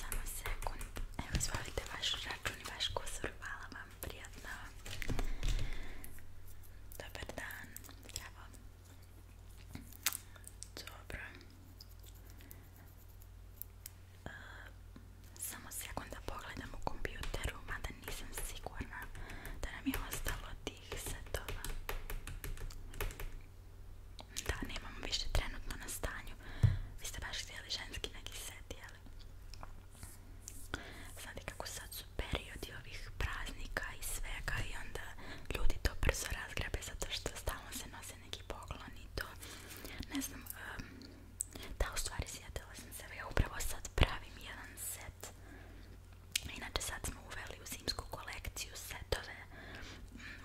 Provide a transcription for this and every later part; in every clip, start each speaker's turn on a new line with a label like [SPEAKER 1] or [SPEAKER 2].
[SPEAKER 1] Samo sekund. Evo izvolite vaš račun i vaš kusur. Hvala vam, prijatno. Dobar dan. Dobro. E, samo sekund da pogledam u kompjuteru, mada nisam sigurna da nam je ostalo tih setova. Da, nemamo više trenutno na stanju. Vi ste baš htjeli ženski neki set, jel? Znate kako sad su periodi ovih praznika i svega i onda ljudi to brzo razgrabe zato što stalno se nose neki poglon i to. Ne znam, da u stvari sjetila sam se, ja upravo sad pravim jedan set. Inače sad smo uveli u zimsku kolekciju setove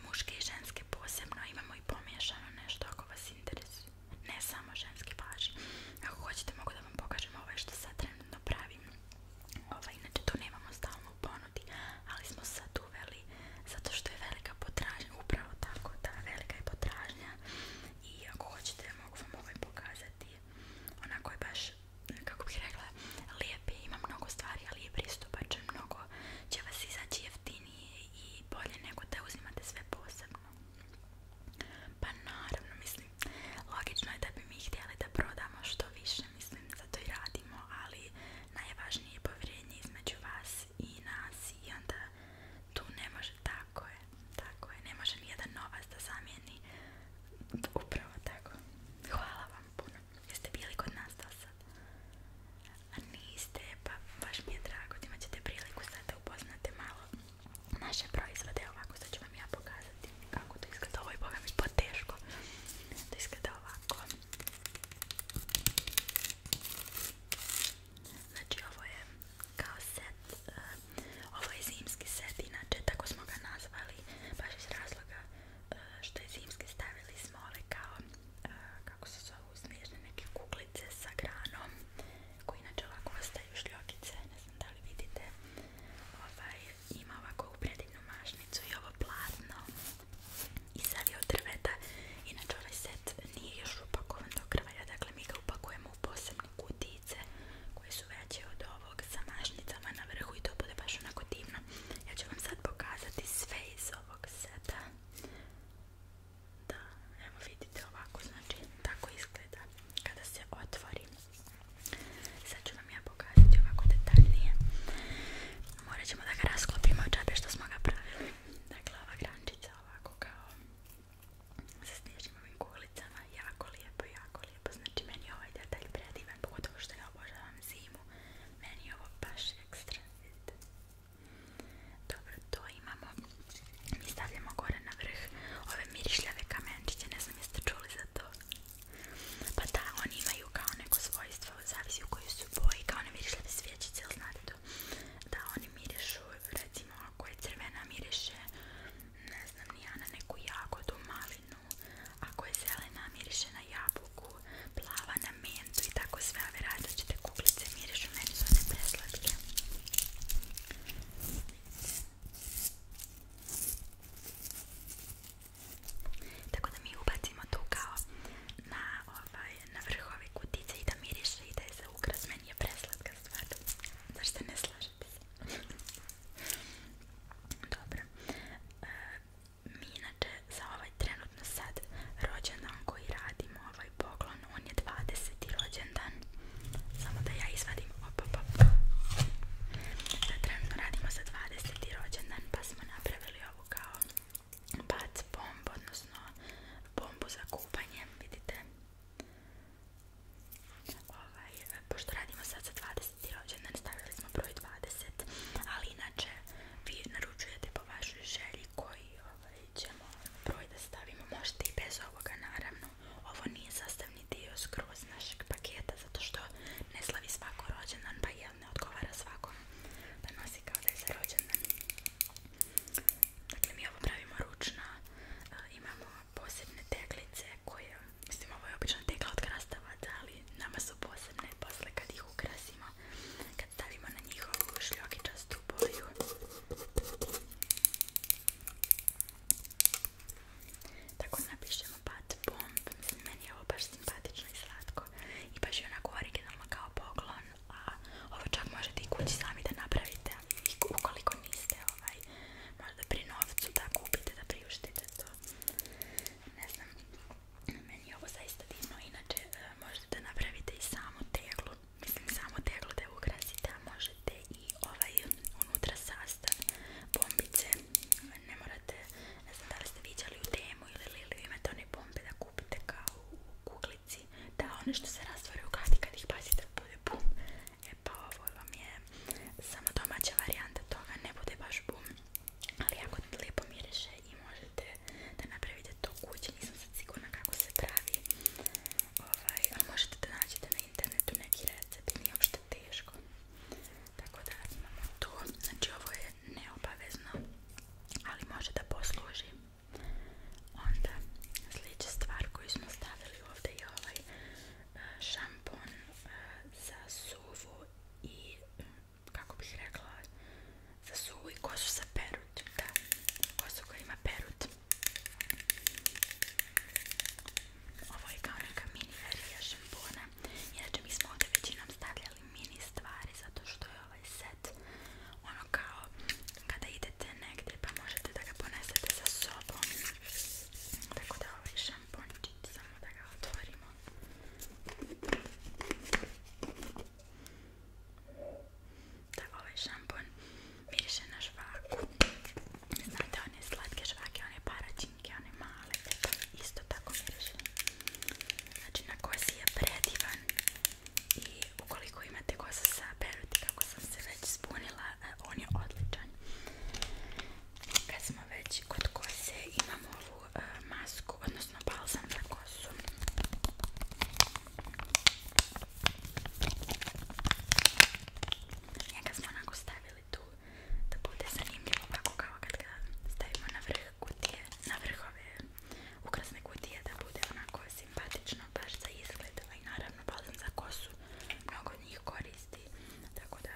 [SPEAKER 1] muške i ženske posebno, imamo i pomiješano nešto ako vas interesuje, ne samo ženski važi. Ako hoćete mogu da vam pokažem ove ovaj što sad trenutno pravim, ovaj, inače to nemamo stalno u ponudi, ali smo sad uveli zato što je velika potražnja, upravo tako da velika je potražnja i ako hoćete mogu vam ovaj pokazati, onako je baš, kako bih rekla, lijepi, ima mnogo stvari, ali je pristupačan, mnogo nekako će vas izaći jeftinije i bolje nego da uzimate sve posebno. Pa naravno, mislim, logično je da bi mi htjeli da prodamo što više, mislim, zato i radimo, ali najvažnije je povjerenje između vas i nas i onda tu ne može, tako je, tako je, ne može jedan novac da zamijeni upravo tako. Hvala vam puno. Jeste bili kod nas do sad? A niste, pa baš mi je drago, imat ćete priliku sad da upoznate malo naše proizvode, ovako sad ću vam ja pokazati kako to izgleda, ovo je boga izgleda ovako. Znači ovo je kao set, eh, ovo je zimski set, inače tako smo ga nazvali, baš iz razloga Eh, što je zimski stavili smo kao, eh, kako se zove snježne neke kuklice sa granom koji inače ovako ostaju šljokice, ne znam da li vidite ovaj, ima ovako u predivnu mašnicu i ovo platno i sad od drveta inače ovaj set nije još upakovan do kraja, dakle mi ga upakujemo u posebne kutice koje su veće od ovog sa mašnicama na vrhu i to bude baš onako divno ja ću vam sad pokazati sve iz ovog seta. Da, evo vidite ovako, znači tako izgleda kada se otvori. Sad ću vam ja pokazati ovako detaljnije. Morat ćemo da ga rasklopimo od što smo ga pravili. Dakle, ova grančica ovako kao sa snježnim ovim Jako lijepo, jako lijepo. Znači, meni je ovaj detalj predivan, pogotovo što ja obožavam zimu. Meni je ovo baš ekstra, Dobro, to imamo. Mi stavljamo gore na vrh ove mirišljave kamenčiće, ne znam jeste čuli za to. Pa da, oni imaju kao neko svojstvo, zavisi u kojoj su boji, kao one mirišljave svjećice, Da, oni mirišu, recimo ako je crvena miriše, ne znam, na neku jagodu, malinu, ako je zelena miriše na jabuku, plava na mentu i tako sve ove različite kuglice mirišu, meni su one preslatke. Tako da mi ubacimo tu kao na, ovaj, na vrhovi kutice i da miriše i da je za ukras, meni je preslatka stvar. Zašto ne slažete se? Dobro. E, Minate inače za ovaj trenutno sad rođendan koji radimo, ovaj poklon, on je 20. rođendan. Samo da ja izvadim, op, trenutno radimo za 20. rođendan pa smo napravili ovu kao bac bombu, odnosno bombu za kupanje, vidite. Ovaj, pošto radimo sad za 20 rođendan, stavili smo broj 20, ali inače vi naručujete po vašoj želji koji ovaj, ćemo broj da stavimo, možete i bez ovoga naravno, ovo nije sastavni dio skroz našeg paketa zato što ne slavi svako rođendan pa jel ne odgovara svakom da nosi kao da je za rođendan. Dakle mi ovo pravimo ručno, imamo posebne teglice koje Mislim, ovo je obično tekla od ali nama su posebne posle kad ih ukrasimo, kad stavimo na njihovu často boju. Tako napišemo Bat meni je ovo baš simpatično i slatko. I baš je onako originalno kao poklon, a ovo čak možete i kući sami da napravite, i ukoliko niste ovaj, možda pri novcu da kupite, da priuštite to ne znam, meni je ovo zaista divno, inače e, možete napraviti napravite i samo teglu, mislim samo teglu da a možete i ovaj unutra sastav, bombice, ne morate, ne znam da li ste viđali u temu ili Liliju, imate one bombe da kupite kao u kuglici, da one što se rastvore u kad ih pazite bude bum, e pa ovo vam je samo domaća varijanta toga ne bude baš bum ali jako lijepo miriše i možete da napravite to kući nisam sad sigurna kako se pravi ovaj, ali možete da nađete na internetu neki recept nije uopšte teško tako da imamo to znači ovo je neobavezno ali može da posluži onda sljedeća stvar koju smo stavili ovdje je ovaj šampon eh, za suvu i mm, kako bih rekla za suvu i kosu za perut da, kosu koja ima perut ovo je kao neka mini verija šampona inače mi smo ovdje većinom stavljali mini stvari zato što je ovaj set ono kao kada idete negdje pa možete da ga ponesete sa sobom tako da ovaj šampon tampončić, samo da ga otvorimo. Da, ovaj šampon miriše na žvaku. Znate one slatke žvake, one paračinke, one male, isto tako miriše. Znači na kosi je predivan i ukoliko imate kosu sa peruti, kako sam se već spunila, e, on je odličan kad smo već kod kose imamo ovu e, masku, odnosno balsam za kosu ga smo onako stavili tu da bude zanimljivo ovako kao kad ga stavimo na vrh kutije na vrhove ukrasne kutije da bude onako simpatično baš za izgled i ovaj, naravno balsam za kosu mnogo njih koristi tako da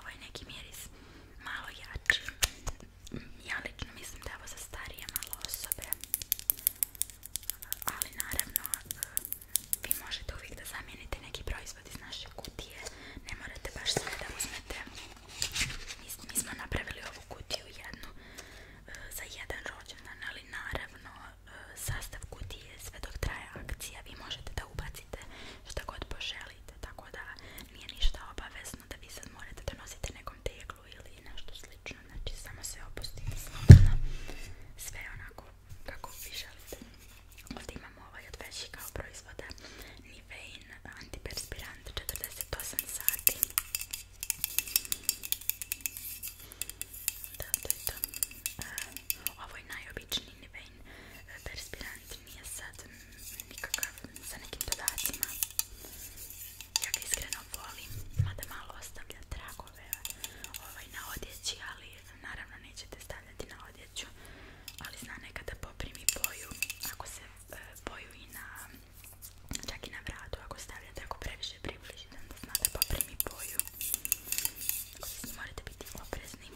[SPEAKER 1] Ovaj neki miris malo jači. Ja lično mislim da ovo za starije malo osobe. Ali naravno, eh, vi možete uvijek da zamijenite neki proizvod iz naše kutije. Ne morate baš sve da uzmete. Mi smo napravili ovu kutiju jednu eh, za jedan rođendan, ali naravno eh, sastav kutije sve dok traje akcija vi možete da ubacite što god pošelite, tako da nije ništa obavezno da vi sad morate da nosite nekom teglu ili nešto slično, znači samo se opustite slobodno, sve onako kako vi želite. Ovdje imamo ovaj veći kao proizvoda Nivein antiperspirant 48 sati. Da, to ovo je najobičniji vein perspirant, nije sad nikakav sa nekim dodacima. Ja ga iskreno volim, mada malo ostavlja tragove ovaj, na odjeći, ali naravno nećete stavljati na odjeću, ali zna nekada poprimi boju, ako se e, boju i na, čak i na vratu, ako stavljate, ako previše približite, onda da poprimi boju. morate biti oprezni.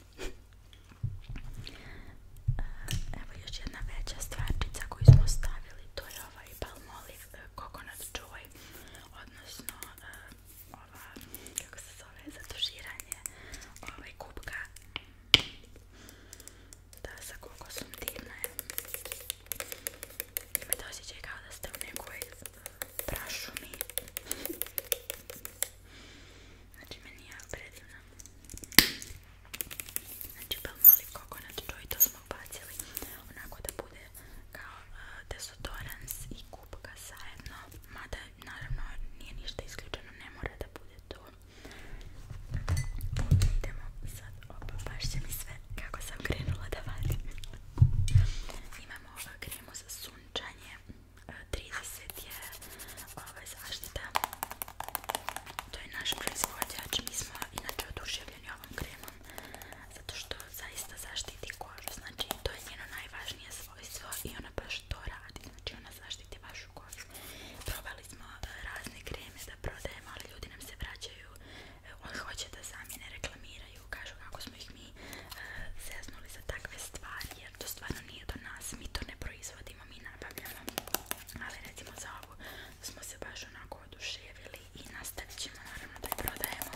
[SPEAKER 1] Evo još jedna veća stvarčica koju smo stavili, to je ovaj palmolive coconut joy, odnosno e, ova, kako se zove, zatuširanje ovaj kubka. Da, sa kokosom divna kao da ste u nekoj mi Znači, meni je ja predivno. Znači, bel mali kokonat joy, to smo bacili onako da bude kao e, desodorans i kupka zajedno. Mada, naravno, nije ništa isključeno, ne mora da bude to. Idemo sad, opa, baš će mi sve kako sam krenula da vadim. Imamo e, kremu za sunčanje 30 je ove ovaj, zaštita. To je naš proizvođač. Mi smo inače oduševljeni ovom kremom zato što zaista zaštiti kožu. Znači to je njeno najvažnije svojstvo i ona baš to radi. Znači ona zaštiti vašu kožu. Probali smo e, razne kreme da prodajemo, ali ljudi nam se vraćaju. E, Oni hoće da sami ne reklamiraju. Kažu kako smo ih bi mi za takve stvari jer to stvarno nije do nas, mi to ne proizvodimo, mi nabavljamo ali recimo za ovu smo se baš onako oduševili i nastavit ćemo naravno da prodajemo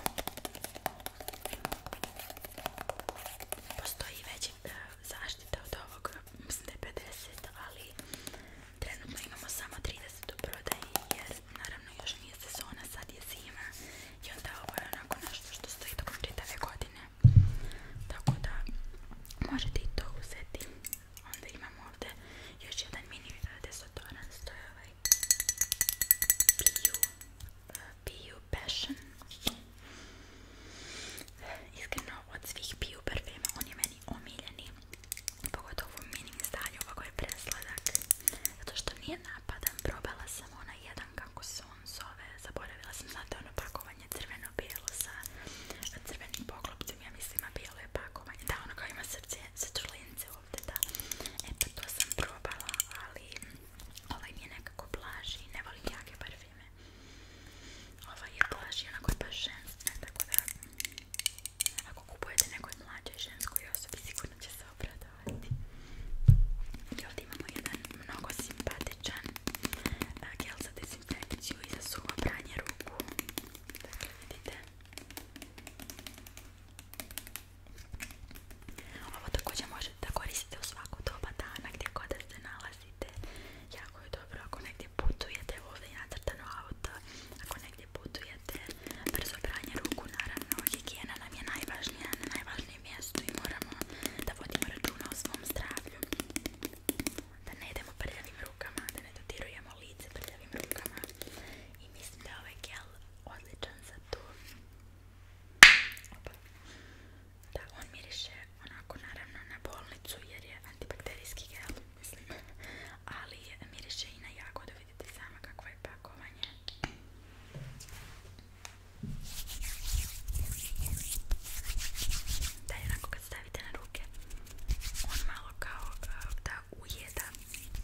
[SPEAKER 1] postoji već e, zaštita od ovog mislim da je 50 ali trenutno imamo samo 30 do prodaje jer naravno još nije sezona, sad je zima i onda ovo je onako nešto što stoji tokom čitave godine tako da možete i to uzeti onda imamo ovdje još jedan mini desodorant to je ovaj Bio, Passion iskreno od svih Bio parfema on je meni omiljeni pogotovo u mini izdanju ovako je presladak zato što nije napadan probala sam ona jedan kako su on zaboravila sam, znate ono pakovanje crveno-bijelo sa crvenim poklopcem, ja mislim a bijelo je pakovanje, da ono kao ima srce sa črlince da, e to sam probala, ali ovaj mi je nekako blaži, ne volim jake parfume. ovaj je blaži, onako je baš tako da ako kupujete nekoj mlađoj ženskoj osobi sigurno će se obraditi sati i ovdje imamo jedan mnogo simpatičan e, gel za dezinfekciju i za suho pranje ruku dakle vidite ovo također možete koristiti u svaku doba dana gdje god da se nalazite jako je dobro ako negdje putujete ovdje je nacrtano auto ako negdje putujete brzo pranje ruku naravno higijena nam je najvažnija najvažnija mjestu i moramo da vodimo računa o svom zdravlju. Da ne idemo prljavim rukama, da ne dotirujemo lice prljavim rukama. I mislim da je ovaj gel odličan za to. Da, on miriše onako naravno na bolnicu jer je antibakterijski gel, Ali miriše i na jagode vidite sama kakvo je kad stavite na ruke, on malo kao eh, da ujeda,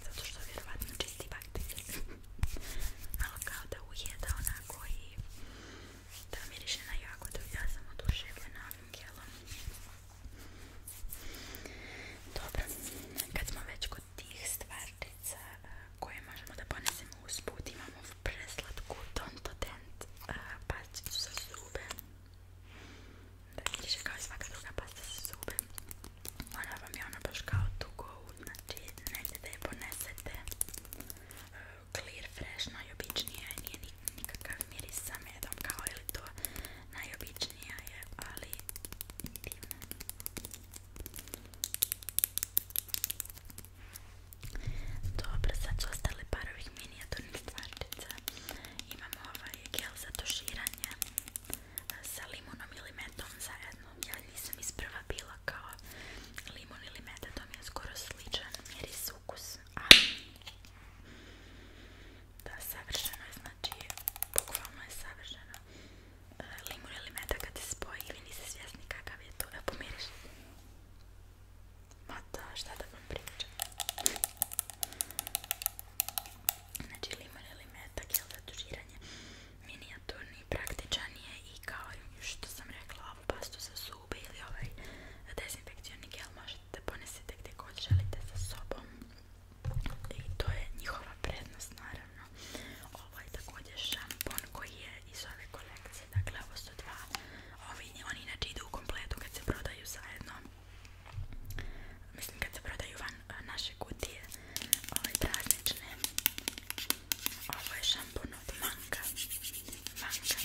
[SPEAKER 1] zato što vjerovatno malo kao da ujeda onako i da miriše na jagodu. Ja sam oduševljena ovim Dobro, kad smo već kod tih stvartica koje možemo da ponesemo usput imamo preslatku Tonto Dent eh, pasticu za zube da piše kao i svaka druga pasta za zube ona vam je ona baš kao tugo, znači negdje da je ponesete eh, clear, fresh, i nije nikakav miris sa medom kao ili to najobičnija je ali divna dobro, sad su ostale par ovih minijaturnih stvarčica. Imamo ovaj gel za toširanje e, sa limunom ili metom zajedno. Ja nisam isprva bila kao limun ili meta, to mi je skoro sličan miris ukus. da, savršeno je, znači bukvalno je savršeno limun ili meda kad se spoji i vi svjesni kakav je to. Evo pomiriš. Ma da, šta da vam pričam. Znači limun ili meda, gel za tužiranje praktičan je i kao što sam rekla ovu pastu za zube ili ovaj dezinfekcioni gel možete da gdje god želite sa sobom i to je njihova prednost naravno. Ovo ovaj, je također šampon koji je iz ove kolekcije, dakle ovo su dva. Ovi, oni inače idu u kompletu kad se prodaju zajedno. Mislim kad se prodaju van naše kutije, ove praznične. Ovo je šampon od Manka. Manka.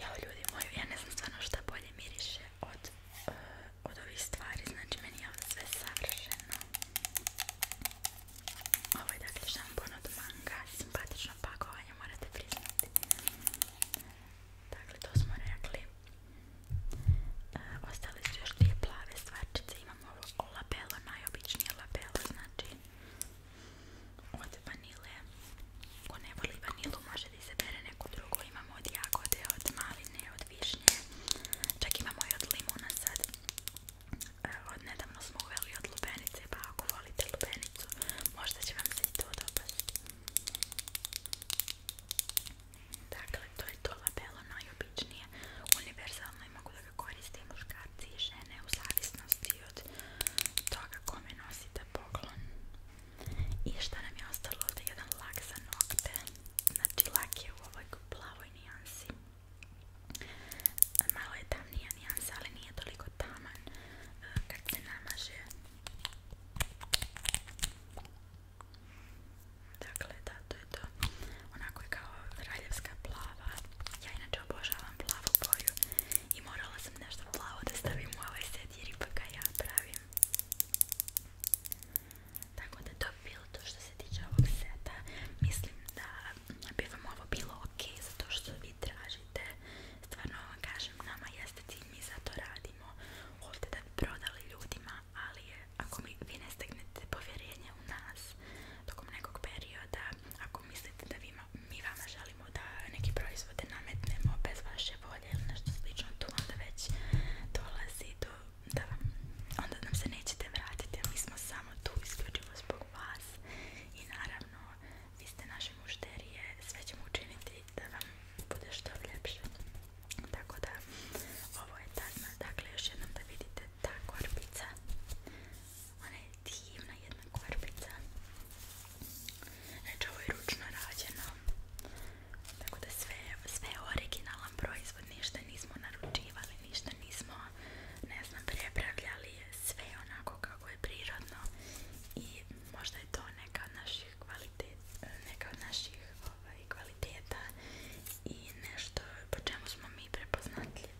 [SPEAKER 1] Jao ljudi moji, ja ne znam stvarno šta bolje miriše od, eh, od ovih stvari, znači meni je ovo sve savršeno. Ovo je dakle šampon od manga, simpatično pakovanje, morate priznati. Dakle, to smo rekli. Uh, ostale su još dvije plave stvarčice, imamo ovo labelo, najobičnije labelo, znači od vanile ko ne voli vanilu može da izabere neku drugo imamo od jagode, od maline, od višnje čak imamo i od limuna e, od nedavno smo uveli od lubenice pa ako volite lubenicu možda će vam se i to dopasti dakle to je to labelo najobičnije univerzalno i mogu ga koriste i muškarci i žene u zavisnosti od toga kome nosite poklon. I što nam je ostalo Jedan lak za nokte. Znači lak je u ovoj plavoj nijansi. Malo je tamnija nijansa, ali nije toliko taman e, kad se namaže. Dakle, da, to je to onako je kao kraljevska plava. Ja inače obožavam plavu boju i morala sam nešto plavo da stavim u ovaj set jer ipak ga ja pravim. Tako da to bilo to što se tiče ovog seta. Mislim da bi vam ovo bilo ok zato što vi tražite. Stvarno vam kažem, nama jeste cilj, mi za to radimo. Ovdje da bi prodali ljudima, ali ako mi, vi ne stegnete povjerenje u nas tokom nekog perioda, ako mislite da mi vama želimo da neke proizvode nametnemo bez vaše volje ili nešto slično, to onda već dolazi do onda nam se nećete vratiti, ali mi smo samo tu isključivo zbog vas i naravno vi ste naše mušterije, sve ćemo učiniti da vam bude što ljepše. Tako da, ovo je tazna, dakle još jednom da vidite ta korpica ona je divna jedna korpica. Znači ovo je ručno rađeno. Tako da sve, sve je originalan proizvod. Ništa nismo naručivali, ništa nismo ne znam, prepravljali. Sve onako kako je prirodno. I možda je to neka od naših kvalitet, neka ovaj, kvaliteta i nešto po čemu smo mi prepoznatljivi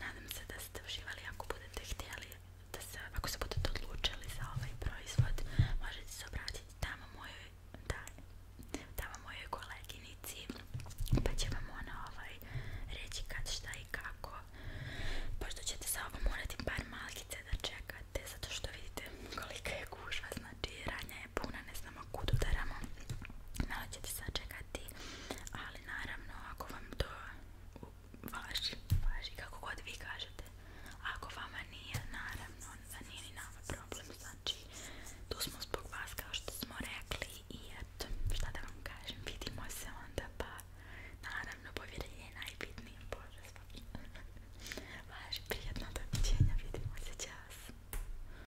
[SPEAKER 1] nadam se da ste uživali ako budete htjeli, da se, ako se budete odlučili za ovaj proizvod, možete se obratiti tamo mojoj, da, tamo mojoj koleginici, pa će vam ona ovaj, reći kad, šta i kako. Pošto ćete sa ovom morati par malkice da čekate, zato što vidite kolika je gužva, znači ranja puna, ne znamo kud udaramo, malo se sačekati, ali naravno ako vam to važi, kako god vi kažete, ako vama nije, naravno, za nije ni problem, znači tu smo zbog vas kao što smo rekli i šta da vam kažem, vidimo se onda pa naravno povjerenje je najbitnije, bože važi, prijetno doviđenja, vidimo se, čas.